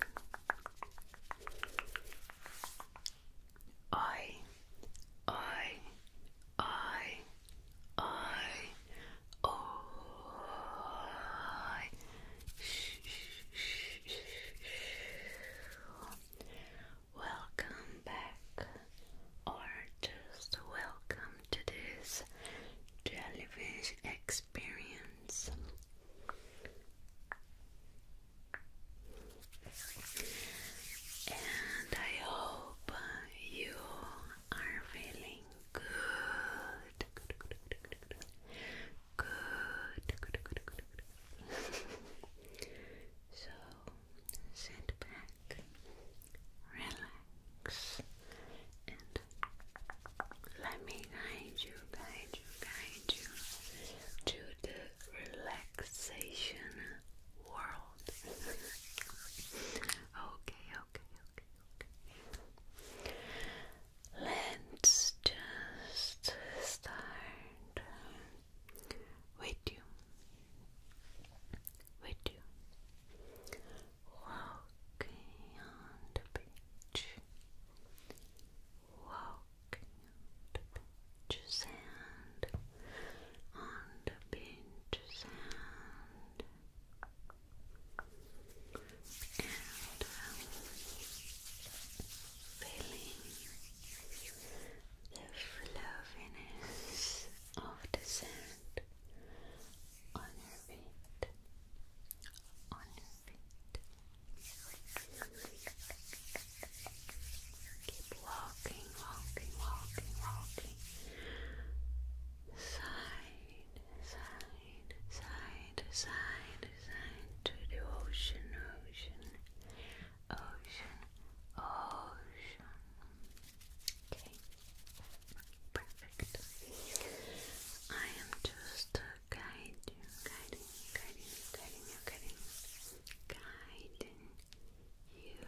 I, I, I, I, I. Welcome back, or just welcome to this television experience experience. And I hope uh, you are feeling good. Good, so sit back, relax, and let me guide you by to guide you to the relaxation world. okay, okay, okay, okay. Let's just start with you. With you. Walking on the beach walk on the beach sand, on the beach sand, and feeling the fluffiness of the sand on your feet, on your Keep walking, walking, walking, walking. Side, side, side, side, side to the ocean, ocean, ocean, ocean. Okay, perfect. I am just uh, guiding, guiding, guiding, guiding you, guiding, guiding you.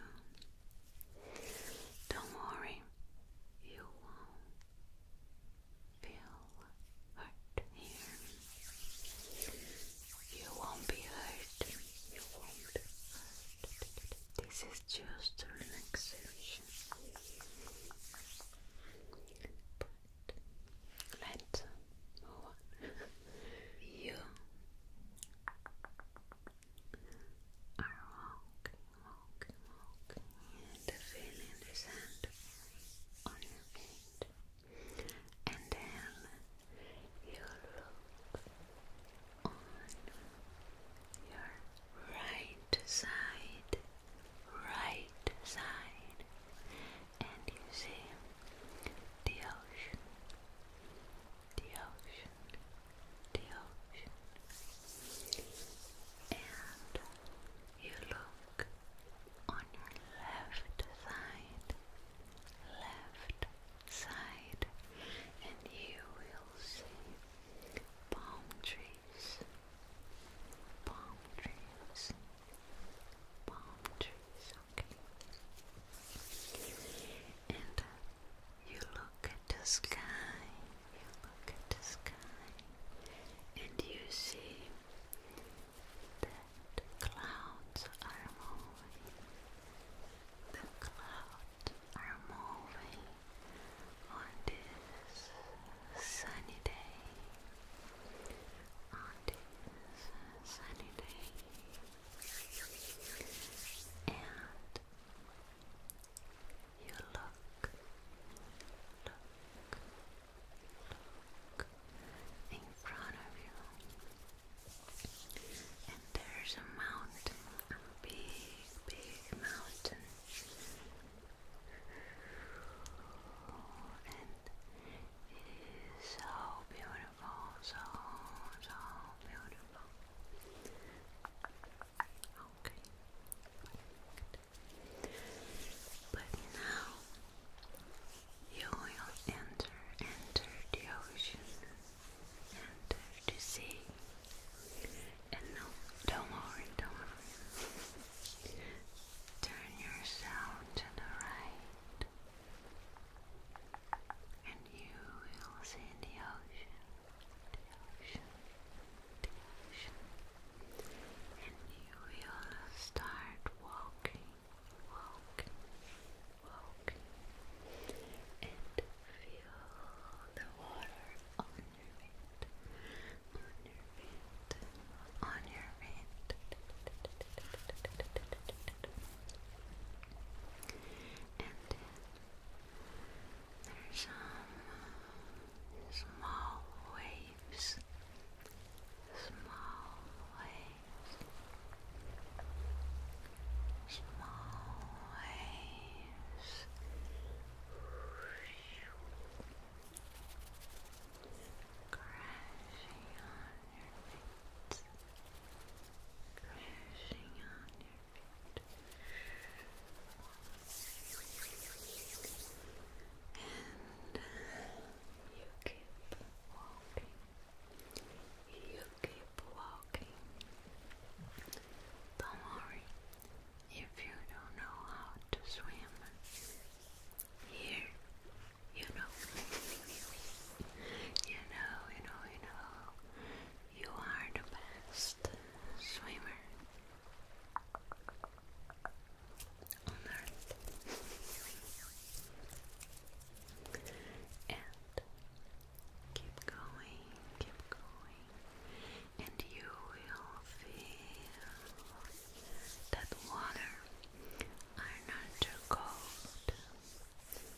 Don't worry, you won't feel hurt here. You won't be hurt. You won't hurt. This is just relaxation. Let's you are walking, walking, and feeling the sand on your feet. And then you look on your right side right side and you see the ocean, the ocean, the ocean. And you look on your left side, left side, and you will see palm trees, palm trees. And you look at the sky, you look at the sky, and you see that clouds are moving. The clouds are moving on this sunny day on this sunny day and you look, look, look in front of you and there's a mountain, a big, big mountain and it is so beautiful, so, so beautiful. Okay. But now you will enter, enter the ocean, enter the sea. And no, don't worry, don't worry turn yourself to the right, and you will see the ocean, the ocean, and you will start walking, and feel the water on your feet, your feet, on your feet. And there's some uh, small waves, small waves. Small waves crashing on your feet, crashing on your feet, and you keep walking, you keep walking. Don't worry if you don't know how to swim. Here you know, you know, you know, you are the best swimmer on earth. And keep going, keep going, and you will feel that water are not too cold. Not too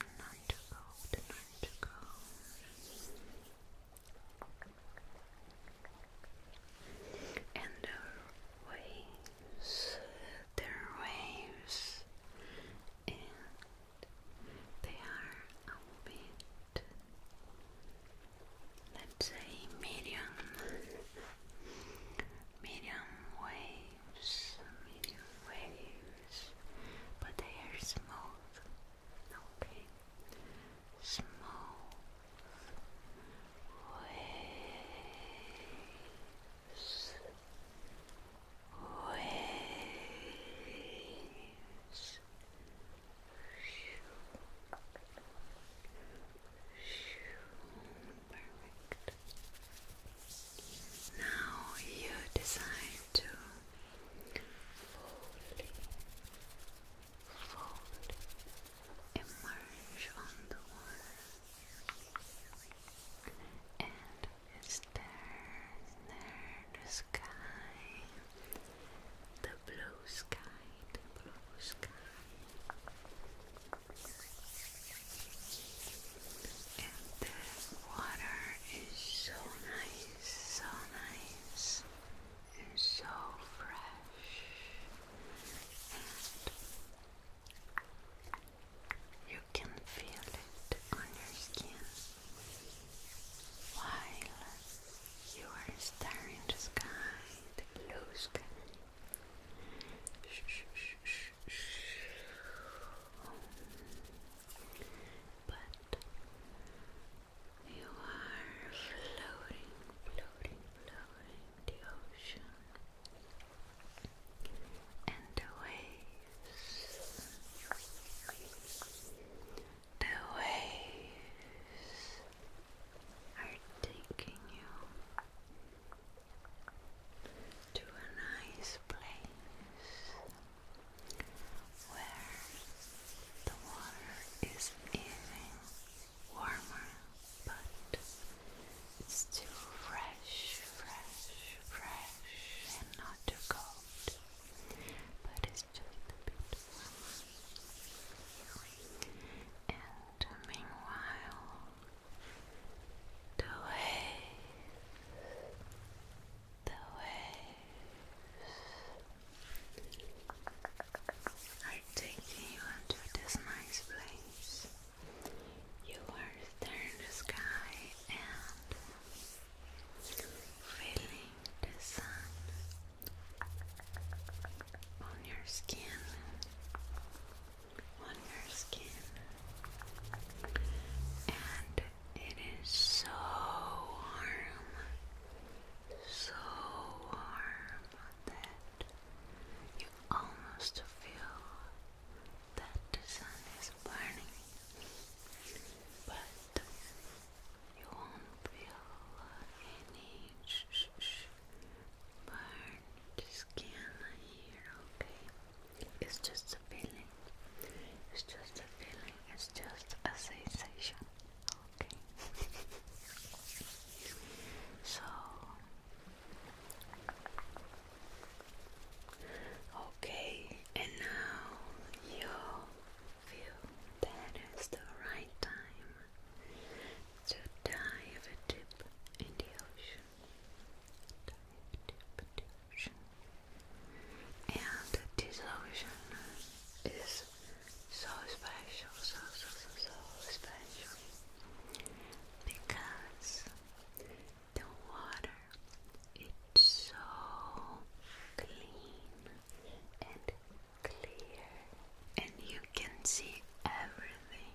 cold, not too cold. And the waves, their waves, they are a bit, let's say, medium medium waves, medium waves, but they are smooth, okay? Smooth waves, waves. Waves, Perfect. Now you decide to fully, fully emerge on the water and stare near the sky, the blue sky, the blue sky. And the water is so nice, so nice, and so fresh. you can feel it on your skin while you are staring the sky, blue sky. But you are floating, floating, floating the ocean, and the waves, the waves are taking you to a nice place where the water is even warmer, but still fresh, fresh, fresh, and not too cold. But it's just a bit warmer. And meanwhile, the waves, the waves are taking you into this nice place. You are staring the sky and feeling the sun on your skin on your skin. And it is so warm, so warm that you almost feel that the sun is burning, but you won't feel any part, skin here, okay? It's just a feeling. It's just a feeling. It's just a sensation, okay? so, okay, and now you feel that it's the right time so dive deep in the ocean. Dive deep in the ocean. And this ocean is so special, so so so so special because the water it's so clean and clear and you can see everything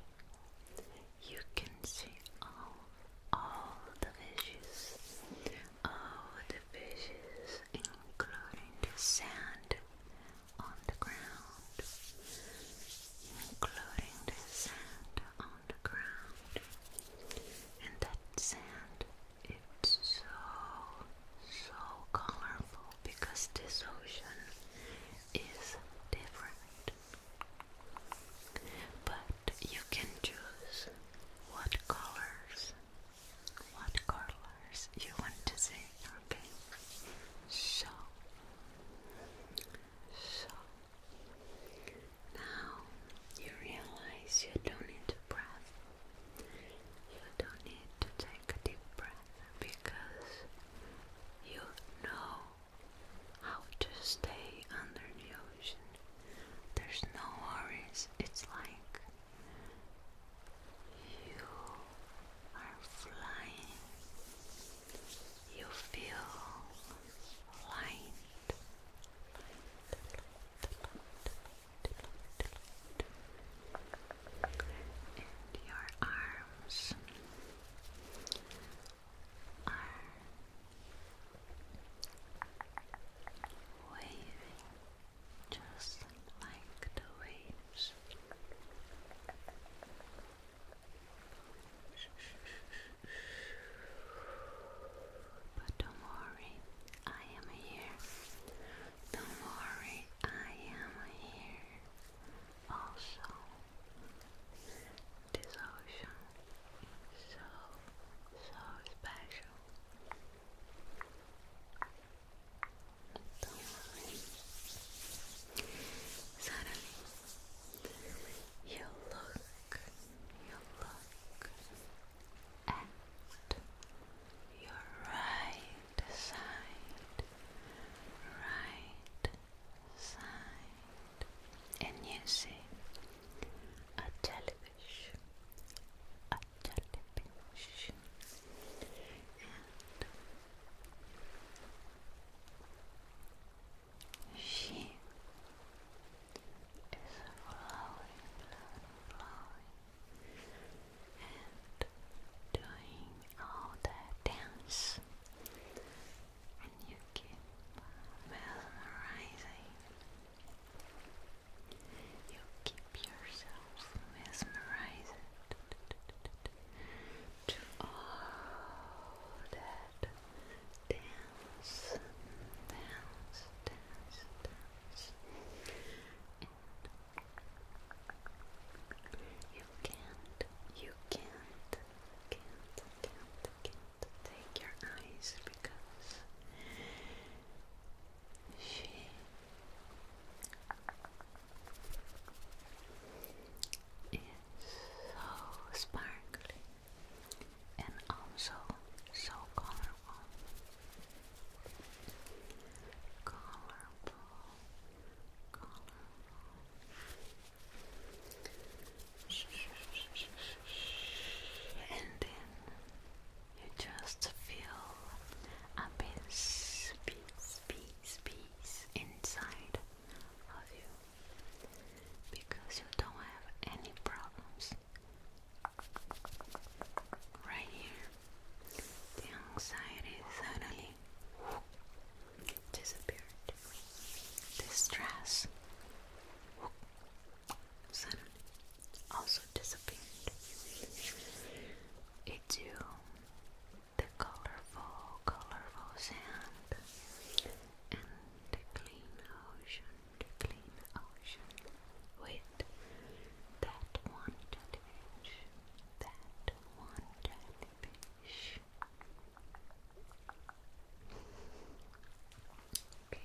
you can see all all the fishes, all the fishes, including the sand on the ground, including the sand on the ground, and that sand it's so so colorful because this ocean is different but you can choose what colors, what colors you want to see, okay? So, so, now you realize you don't need to breath. You don't need to take a deep breath because you know how to stay under the ocean. There's no worries. It's like you are flying. You feel light. And your arms are waving just like the waves. But don't worry, I am here. Don't worry, I am here. Also, this so, so special. Suddenly, you look, you look, and your right side, right and you see a jellyfish, a jellyfish, and she is flowing, flowing, and doing all the dance and you keep mesmerizing. You keep yourself mesmerized to all that dance, dance, dance, you can't, you can't can't, can't, can't take your eyes because she is so sparkly and also so colorful. Colorful, colorful and then you just feel a peace, peace, peace, peace inside of you because you don't have any problems right here. The anxiety suddenly disappeared. Distress sun also disappeared It's you, the colorful, colorful sand and the clean ocean, the clean ocean with that one touch, that one touch fish. Okay,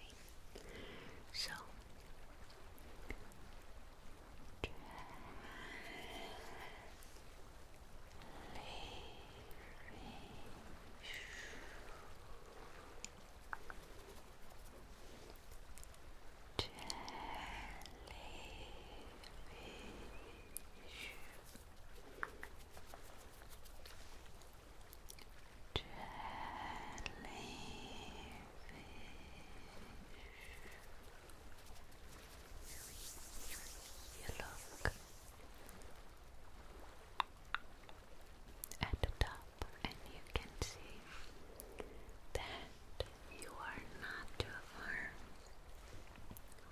so just jellyfish you look at the top, and you can see that you are not too far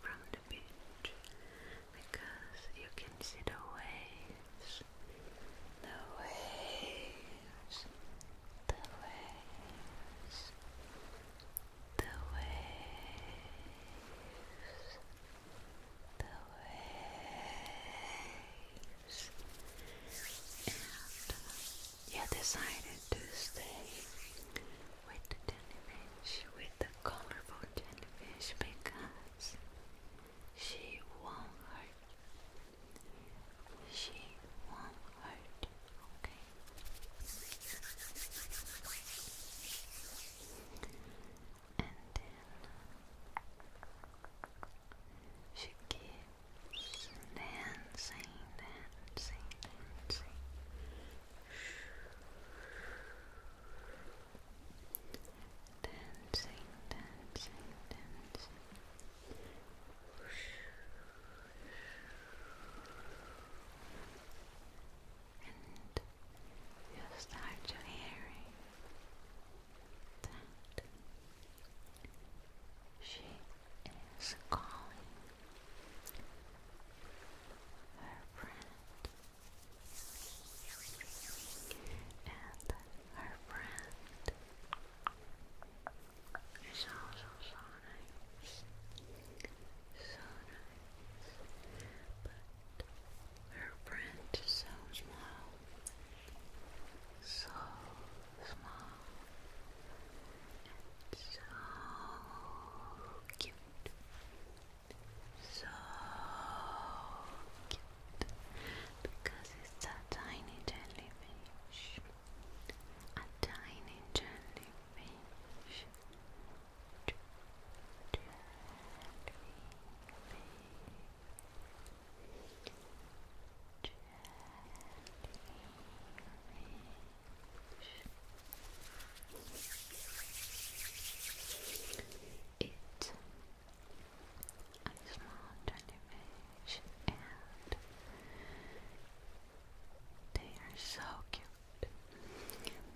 from because you can see the waves, the waves, the waves, the waves, the waves. And yeah, decided to stay with the beach with colorful jellyfish because she won't hurt. She won't okay? And then she keeps dancing, dancing, dancing dancing, dancing, dancing. And you start to hearing that she is calling her friend and her friend is also so nice. So nice. But her friend is so small. So small. And so cute so cute because it's a tiny jellyfish. A tiny jellyfish. It a small jellyfish and they are so cute.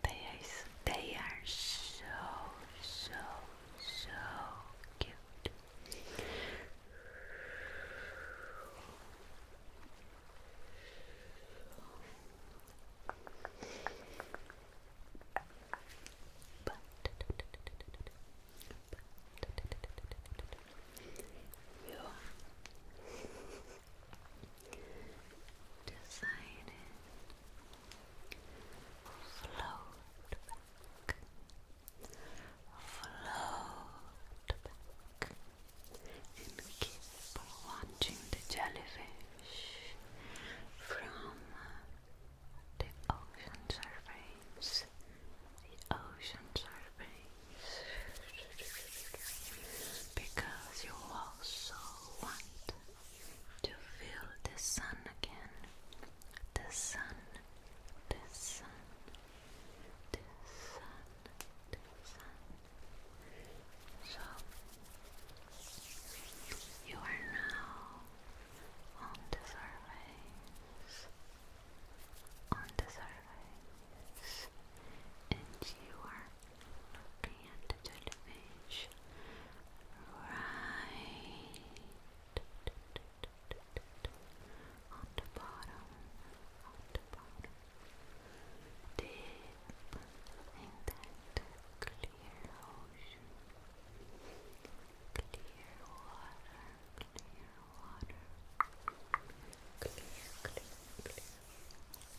They are they are so so so cute. But, you decided float float and keep watching the jellyfish from the ocean surveys. The ocean surveys. Because you also want to feel the sun again. The sun, the sun, the sun, the sun. So you are now on the surface, on the surface, and you are looking at the television right on the bottom, on the bottom, deep in that ocean, clear water, clear water, clear, clear, clear,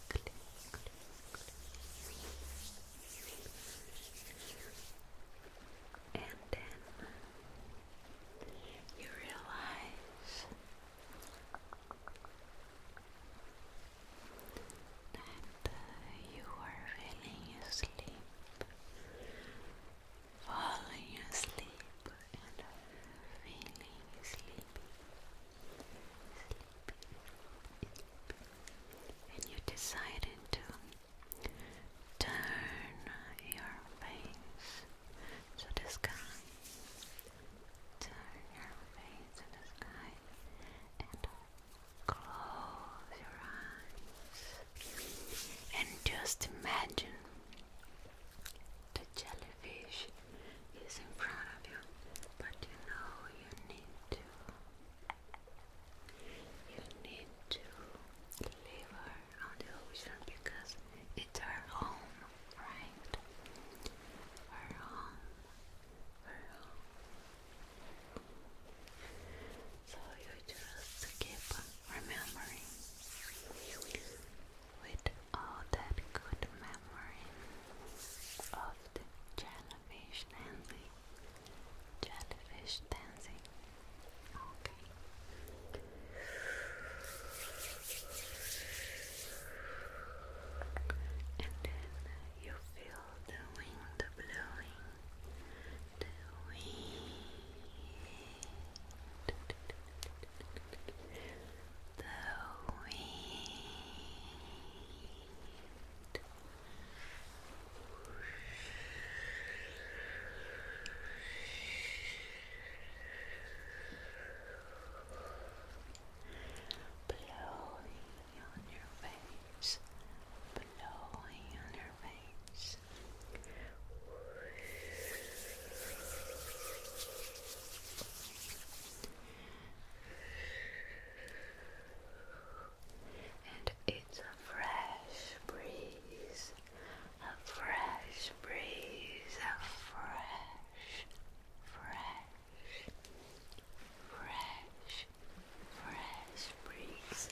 clear, clear, clear. And then you realize that you are feeling asleep, falling asleep, and feeling sleepy, sleepy, sleepy. and you decided to turn your face to the sky. Turn your face to the sky and Close your eyes and just imagine the jellyfish is in front of you, but you know you need to. You need to leave her on the ocean because it's her home, right? Her home, her home. So you just keep remembering with all that good memory of the jellyfish dancing. Jellyfish dancing. Okay. And then you feel the wind blowing, the wind, the wind. Blowing, on your face, blowing on your face. And it's a fresh breeze, a fresh breeze, a fresh, fresh, fresh fresh breeze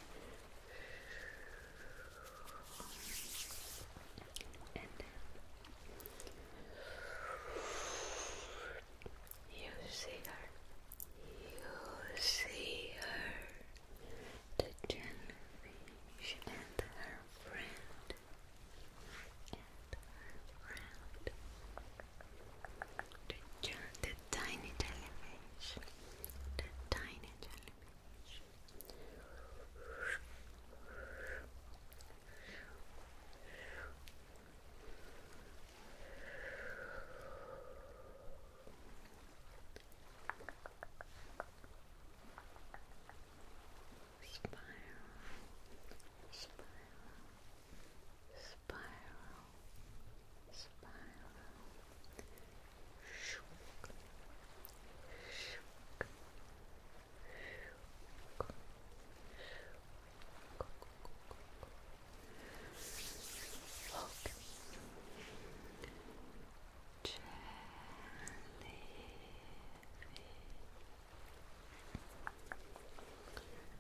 and you see her you see her the jellyfish and her friend and her friend the, the tiny jellyfish. The tiny jellyfish. Spiral, spiral, spiral, spiral, shook, shook, shook, shook. Okay. Jellyfish,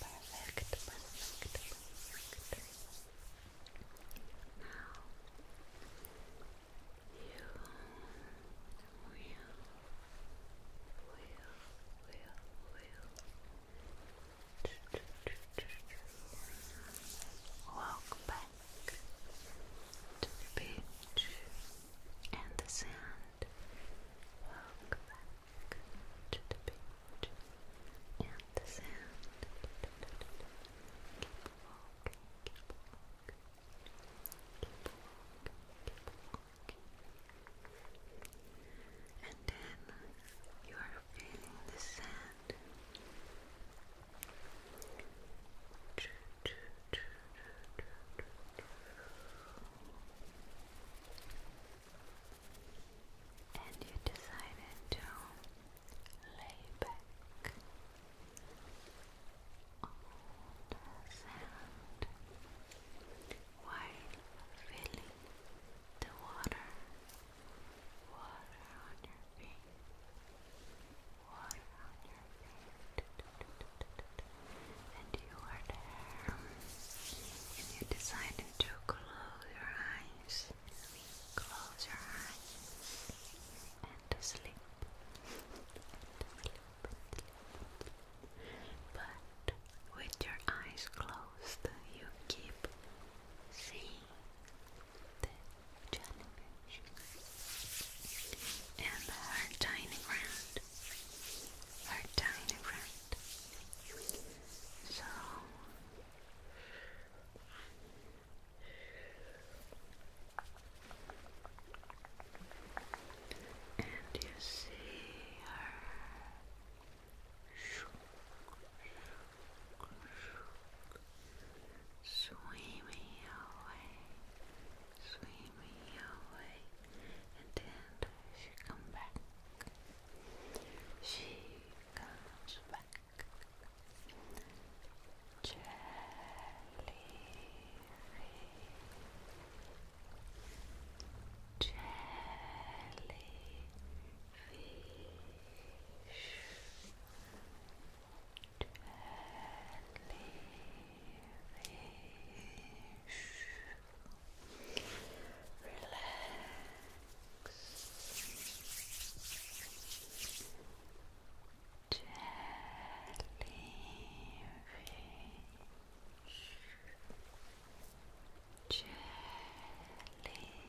Perfect, perfect, perfect. Now you will, will, will, will walk back to the beach. Walk and the sand. Walk back to the beach and the sand. Keep walking, keep walking, keep walking, keep walking. And then you are feeling the sand. Choo, choo, choo and you decided to lay back on the sand while feeling the water, water on your feet. And you are there. And you decided to close your eyes. Close your eyes. And to sleep. But with your eyes closed, you keep seeing the jellyfish and her tiny round are tiny So and you see her swimming away swimming away and then she come back. She comes back. Jellyfish. Jellyfish. Jellyfish. Relax. Jellyfish. Jellyfish. Jellyfish.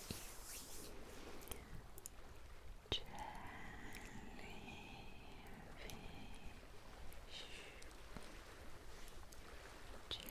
Jellyfish. Jellyfish.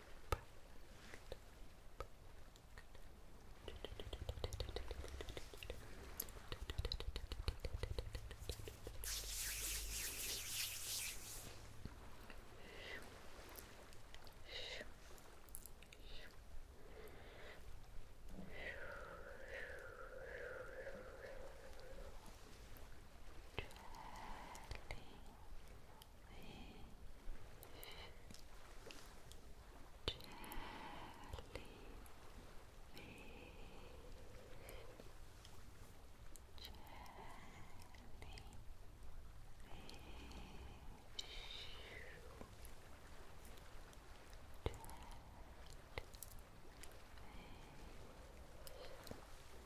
Jelly. Jellyfish. Jellyfish. Jellyfish.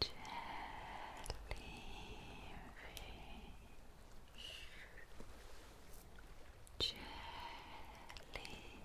jellyfish, jellyfish, jellyfish.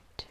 Jellyfish.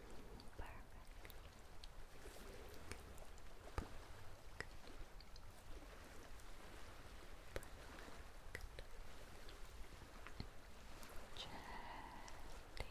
Jellyfish. Jellyfish.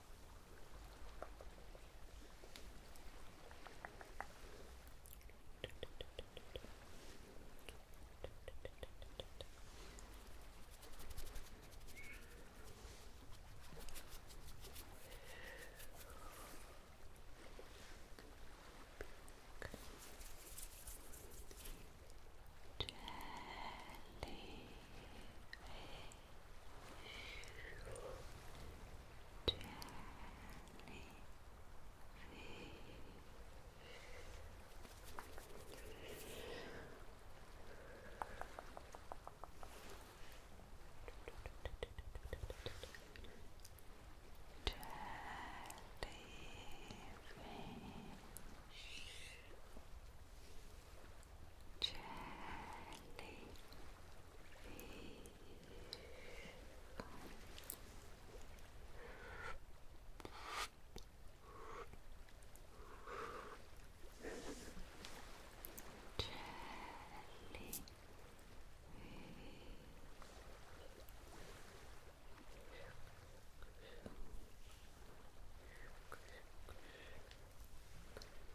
Jellyfish Jellyfish. Jellyfish. Jellyfish.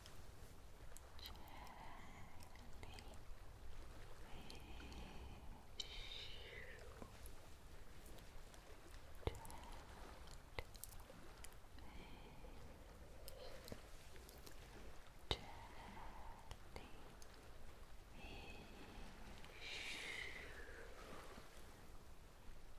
Jellyfish. Jellyfish. Jellyfish.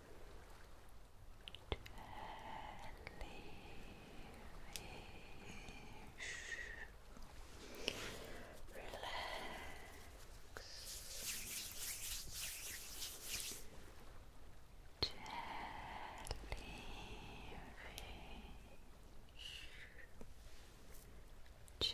Relax. Jellyfish. Jellyfish.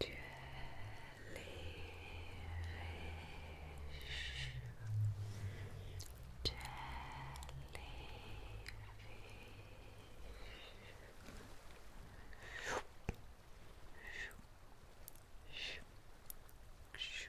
Jellyfish. Jellyfish.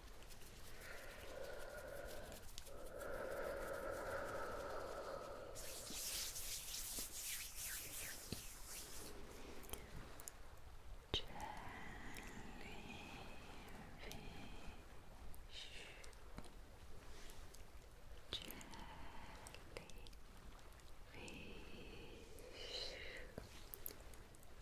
Jellyfish. Jellyfish.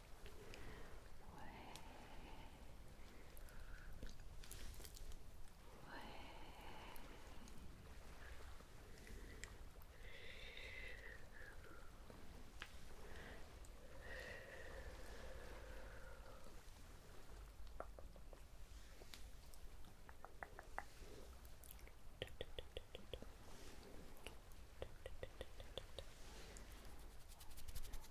Way.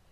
Jellyfish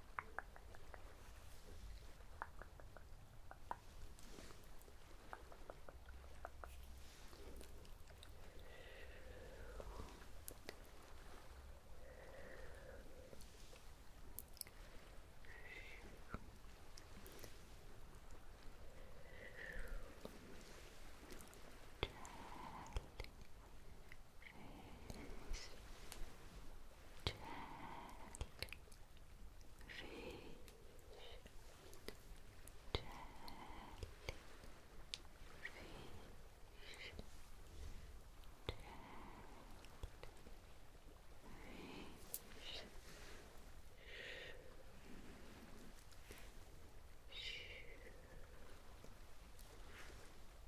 Jelly jellyfish, jellyfish, jellyfish. Shoo. Shoo.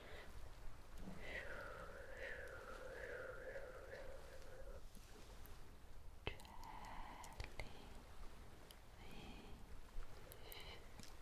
Jellyfish, jellyfish, jellyfish, jellyfish,